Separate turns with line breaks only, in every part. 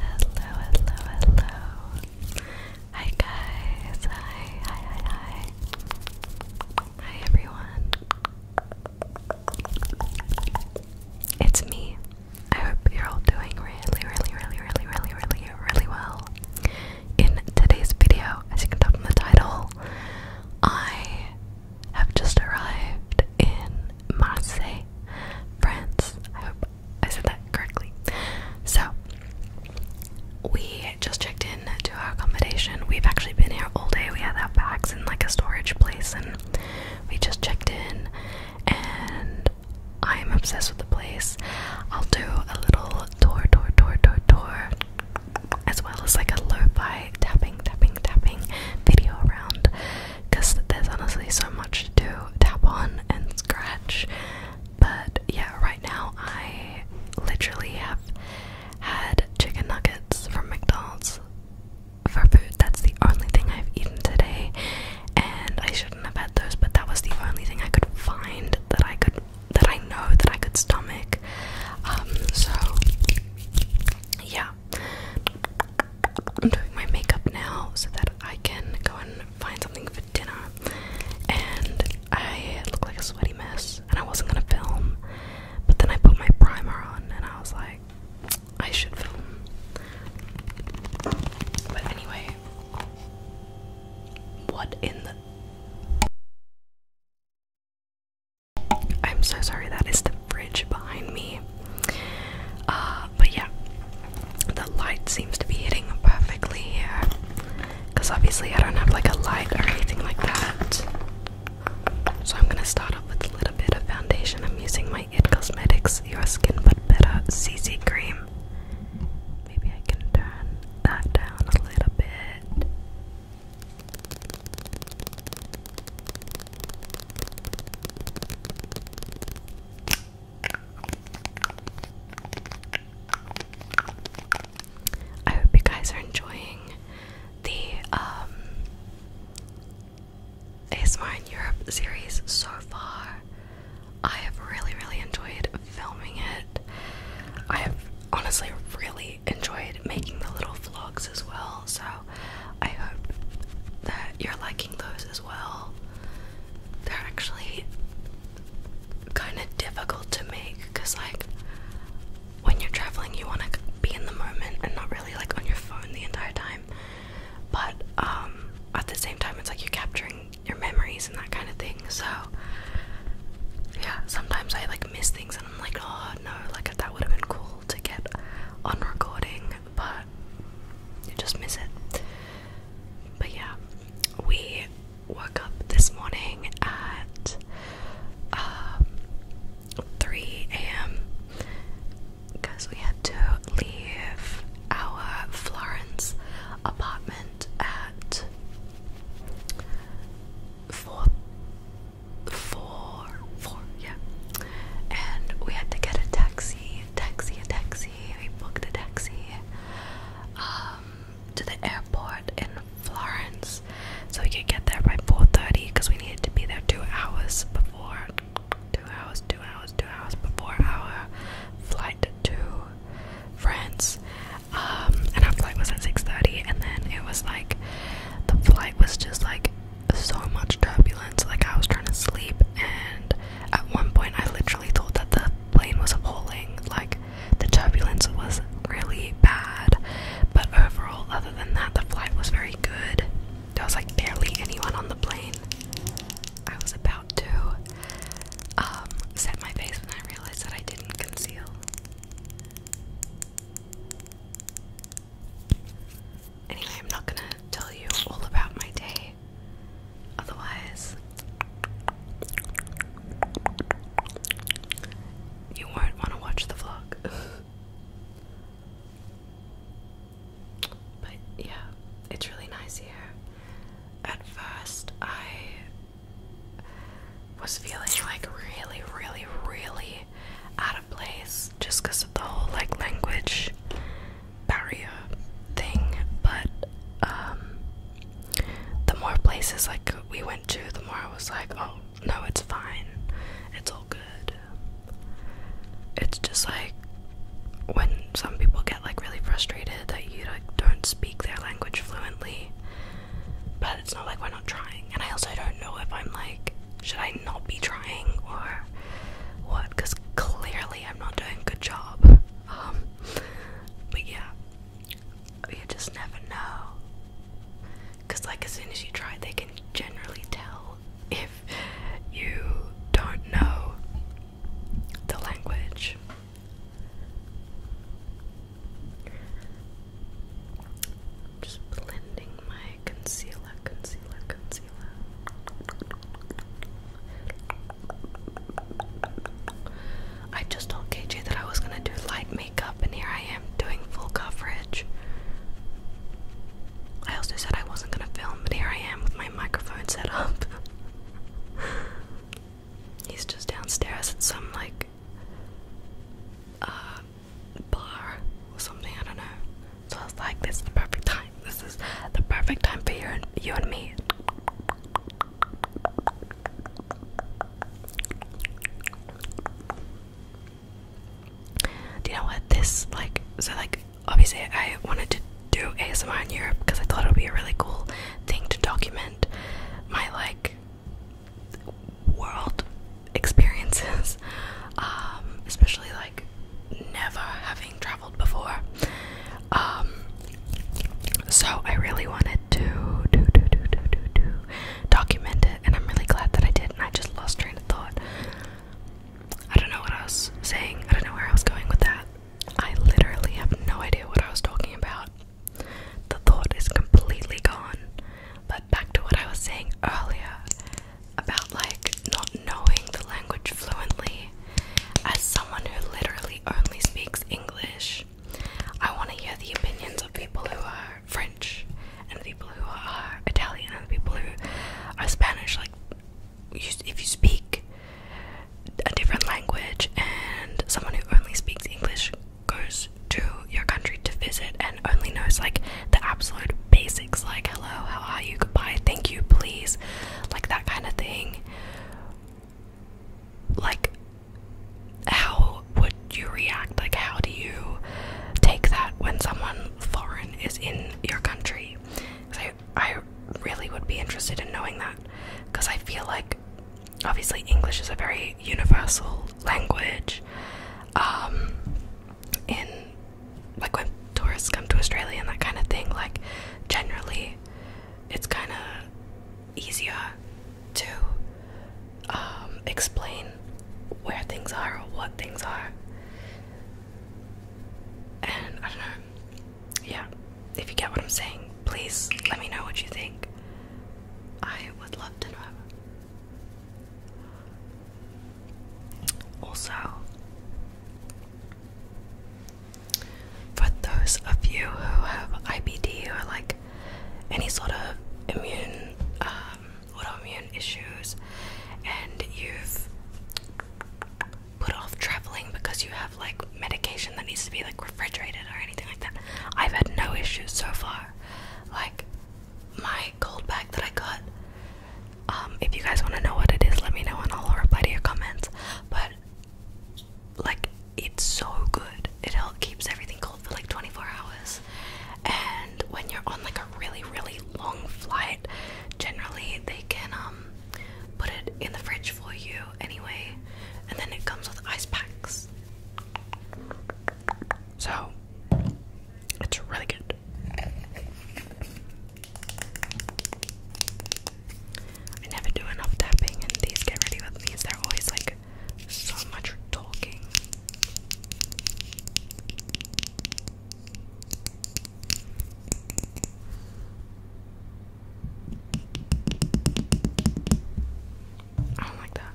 Hello, hello, hello. Hi guys. Hi, hi, hi, hi. everyone. It's me. I hope you're all doing really, really, really, really, really, really, really well. In today's video, as you can tell from the title, I have just arrived in Marseille, France. I hope I said that correctly. So, we just checked in to our accommodation. We've actually been here all day. We had our bags in like a storage place and we just checked in and I'm obsessed with the place. I'll do a little tour, tour, tour, tour, tour, as well as like a lo-fi tapping, tapping, tapping video around because there's honestly so much to do, tap on and scratch. But yeah, right now I literally have had chicken nuggets from McDonald's for food. That's the only thing I've eaten today, and I shouldn't have had those, but that was the only thing I could find that I could that I know that I could stomach. Um, so yeah, I'm doing my makeup now so that I can go and find something for dinner. And I looked like a sweaty mess, and I wasn't gonna film, but then I put my primer on, and I was like, I should film. But anyway, what in the. I'm so sorry, that is the fridge behind me. Uh, but yeah, the light seems to be hitting perfectly here. Because obviously, I don't have like a light or anything like that. So, I'm gonna start off with a little bit of foundation. I'm using my IT Cosmetics Your Skin But Better CC Cream. Maybe I can turn that down a little bit. I hope you guys are enjoying the um, ASMR in Europe series so far. I have really, really enjoyed filming it. I have honestly really enjoyed making the little vlogs as well, so I hope that you're liking those as well. They're actually kind of difficult to make because, like, when you're traveling, you want to be in the moment and not really like on your phone the entire time. But um, at the same time, it's like you're capturing your memories and that kind of thing. So yeah, sometimes I like miss things and I'm like, oh no, like that would have been cool to get on recording but you just miss it. But yeah, we woke up this morning at um, 3 a.m. because we had to leave our Florence apartment at 4 yeah and we had to get a taxi a taxi, a taxi. We booked a taxi um, to the airport in Florence, so we could get there by 4:30 because we needed to be there two hours before, two hours, two hours, two hours before our flight to France. Um, and our flight was at 6:30, and then it was like the flight was just like so much turbulence. Like I was trying to sleep and at one point, I literally thought that the plane was appalling. Like, the turbulence was really bad. But overall, other than that, the flight was very good. There was like barely anyone on the plane. I was about to um, set my face when I realized that I didn't conceal. Anyway, I'm not gonna tell you all about my day. Otherwise, you won't want to watch the vlog. but yeah, it's really nice here. At first, I was feeling like really, really, really out of place just because of the whole like language barrier thing, but um, the more places like we went to, the more I was like, oh no, it's fine, it's all good. It's just like when some people get like really frustrated that you don't speak their language fluently, but it's not like we're not trying. And I also don't know if I'm like, should I not be trying or what, because clearly I'm not doing a good job. Um, but yeah, you just never know. Because, like, as soon as you try, they can generally tell if you don't know the language. just blending my concealer, concealer, concealer. I just told KJ that I was gonna do light makeup, and here I am doing full coverage. I also said I wasn't gonna film, but here I am with my microphone set up. He's just downstairs at some like uh bar or something, I don't know. So I was like, this is the perfect time. This is the perfect time for you and, you and me. Do you know what this like? So like, obviously, I wanted to do ASMR in Europe because I thought it would be a really cool thing to document my like world experiences, um, especially like never having traveled before. Um, so I really wanted to document it, and I'm really glad that I did, and I just lost train of thought. I don't know what I was saying, I don't know where I was going with that. I literally have no idea what I was talking about. The thought is completely gone. But back to what I was saying earlier about like not knowing the language fluently as someone who literally only speaks English, I want to hear the opinions of people who are French and people who are Italian and people who are Spanish. Like, if you speak a different language and someone who only speaks English goes to your country to visit and only knows like the absolute basics, like hello, how are you, goodbye, thank you, please, like that kind of thing, like how would you react? Like how do you take that when someone foreign is in your country? I I really would be interested in knowing that because I feel like obviously English is a very universal language. Um, in like when tourists come to Australia and that kind of thing, like generally it's kind of easier to um, explain where things are or what things are. And I don't know. Yeah, if you get what I'm saying, please let me know what you think. I would love to know. Also, for those of you who have IBD or like any sort of immune um, autoimmune issues and you've put off traveling because you have like medication that needs to be like refrigerated or anything like that. I've had no issues so far. Like my cold bag that I got. Um, if you guys want to know what it is, let me know and I'll reply to your comments. But like it's so good. It help keeps everything cold for like 24 hours. And when you're on like a really really long flight, generally they can um put it in the fridge for you anyway. And then it comes with ice packs. So it's really good. I never do enough tapping, and these get ready with me. They're always like so much talking. I don't like that.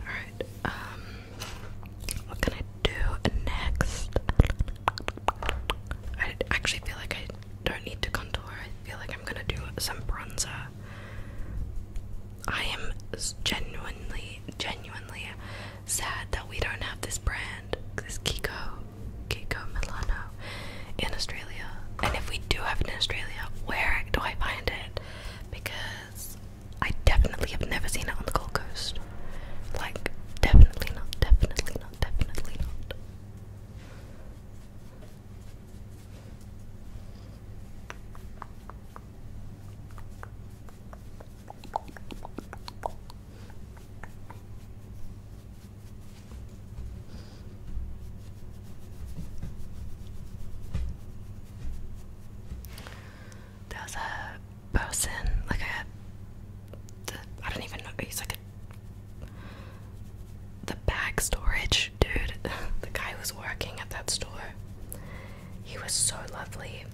Alright, um, what can I do next? I actually feel like I don't need to contour. I feel like I'm gonna do some bronzer. I am genuinely, genuinely sad that we don't have this brand, this Kiko, Kiko Milano, in Australia. And if we do have it in Australia, where do I find it? Because I definitely have never seen it on the Gold Coast. Like, definitely not, definitely not, definitely not. There's a person, like a, the, I don't even know, he's like a the bag storage, dude, the guy was working at that store. He was so lovely.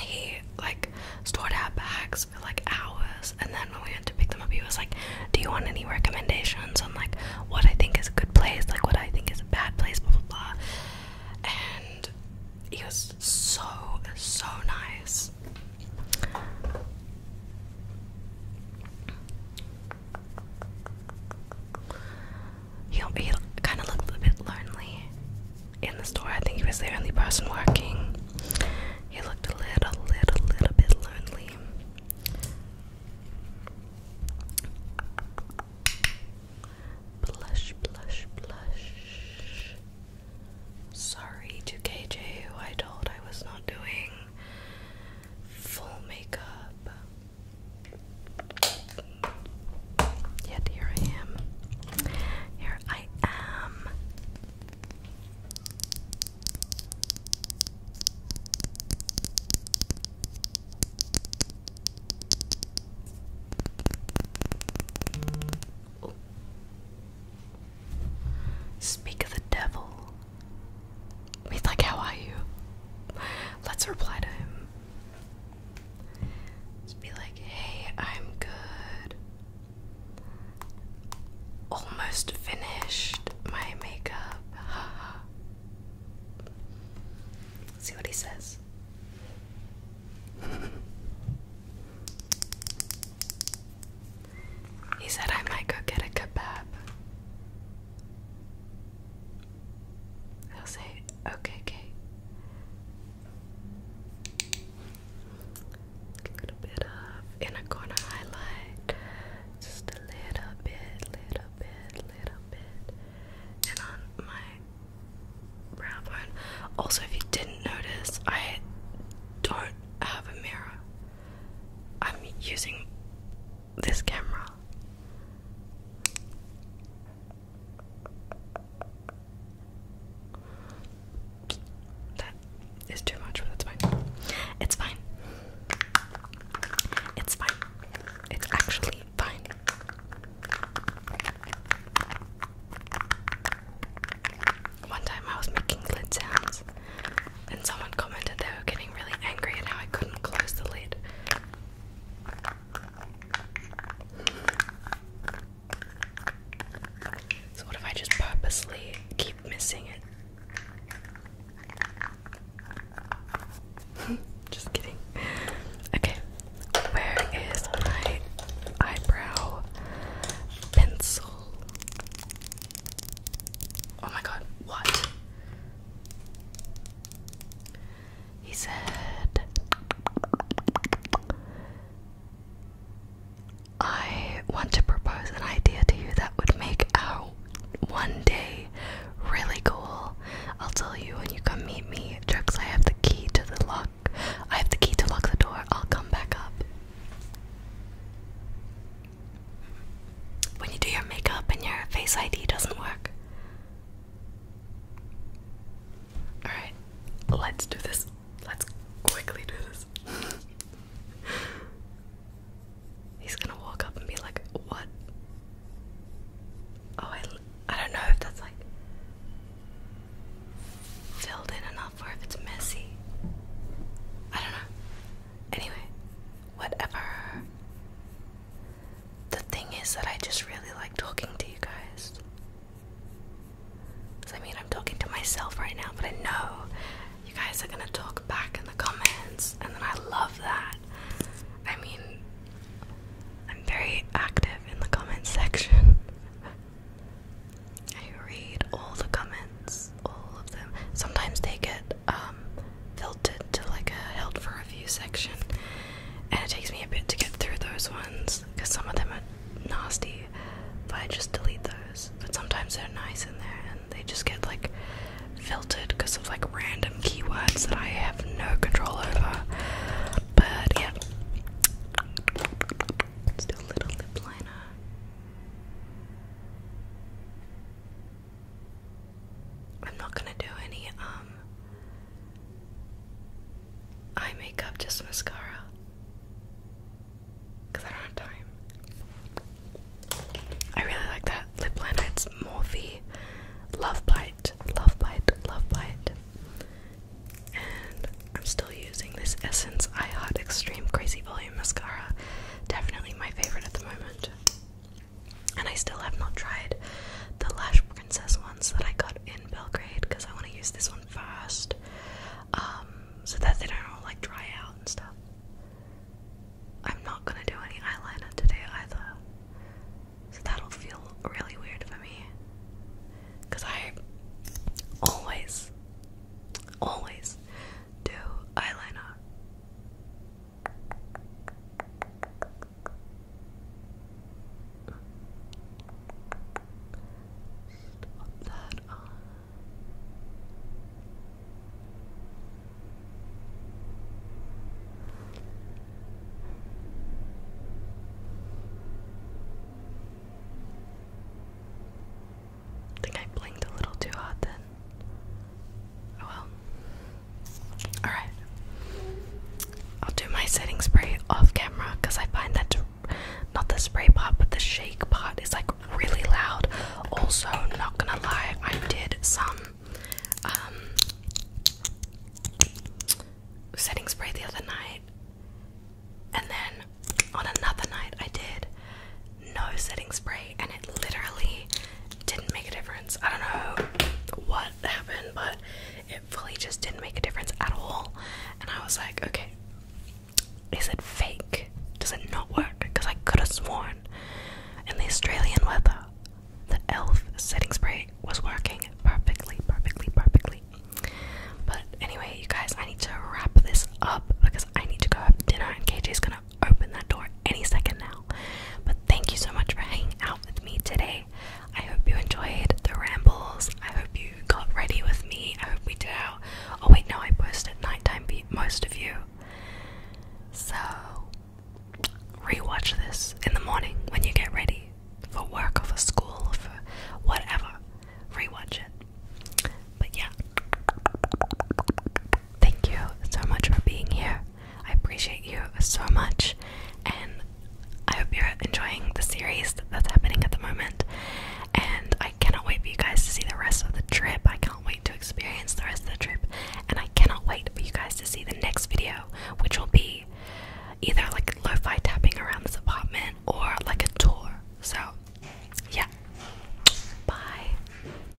He like stored our bags for like hours and then when we went to pick them up he was like, Do you want any recommendations on like what I think is a good place, like what I think is a bad place, blah blah blah and he was so so nice. He, kind of looked a bit lonely in the store. I think he was the only person working. He looked a little, little, little bit lonely. Blush, blush, blush. Sorry to KJ, who I told I was not doing full makeup. Yet here I am. Here I am. Oh. Speak of the devil. He's like, how are you? Let's reply to him. Just be like, hey, I'm good. Almost finished my makeup. See what he says. He said I might go get a kebab. He'll say, okay, Kate. A little bit of inner corner highlight. Just a little bit, little bit, little bit. And on my brow bone. Also, if you didn't notice, I don't have a mirror. I'm using this camera. That is too much, but that's fine. It's fine. It's fine. It's actually fine. One time I was making lid sounds and someone commented they were getting really angry and how I couldn't close the lid. So, what if I just purposely keep missing it? just kidding. Okay, where is my eyebrow pencil? Oh my god, what? He said, I want to propose an idea to you that would make our one day really cool. I'll tell you when you come meet me. I have the key to the lock. I have the key to lock the door. I'll come back up when you do your makeup and your face ID doesn't work. Alright, let's do this. Let's quickly do this. He's gonna walk up and be like, What? Oh, I, I don't know if that's like filled in enough or if it's messy. I don't know. Anyway, whatever. The thing is that I just really like talking to you guys. I mean, I'm talking to myself right now, but I know you guys are gonna talk back in the comments, and then I love that. I mean, I'm very active in the comments section. I read all the comments all of them. Sometimes they get um, filtered to like a held for review section, and it takes me a bit to get through those ones because some of them are nasty. But I just delete those. But sometimes they're nice in there, and they just get like filtered because of like random keywords that I have no control over. But yeah, still little lip liner. I'm not gonna do any um eye makeup, just mascara. Cause I don't have time. I really like that lip liner. It's Morphe Love Bite, Love Bite, Love Bite. And I'm still using this Essence I Heart Extreme Crazy Volume Mascara. Definitely my favorite at the moment. And I still have not tried the Lash Princess ones that I got in Belgrade because I want to use this one first um, so that they don't all like dry out and stuff. I'm not going to do any eyeliner today either. So that'll feel really weird for me. Because I always, always do eyeliner Stop that I think I blinked a little too hot then. Oh well. Alright. I'll do my setting spray off camera because I find that not the spray part but the shake part is like really loud. Also, not gonna lie, I did some um, setting spray the other night and then on another night I did no setting spray and it literally didn't make a difference. I don't know what happened, but it fully just didn't make a difference at all. And I was like, okay, is it fake? Does it not work? Because I could have sworn in the Australian weather the e.l.f. setting spray was working perfectly, perfectly, perfectly. But anyway, you guys, I need to wrap this up because I need to go have dinner and KJ's gonna open that door any second now. But thank you so much for hanging out with me today. I hope you enjoyed the rambles. I hope you got ready with me. I hope we did Oh, wait, no, I posted nighttime for most of you. So, rewatch this in the morning when you get ready for work or for school or for whatever. Rewatch it. But yeah thank you so much for being here. I appreciate you so much, and I hope you're enjoying the series that's happening at the moment. And I cannot wait for you guys to see the rest of the trip. I can't wait to experience the rest of the trip, and I cannot wait for you guys to see the next video, which will be either like lo fi tapping around this apartment or like a tour. So, yeah, bye.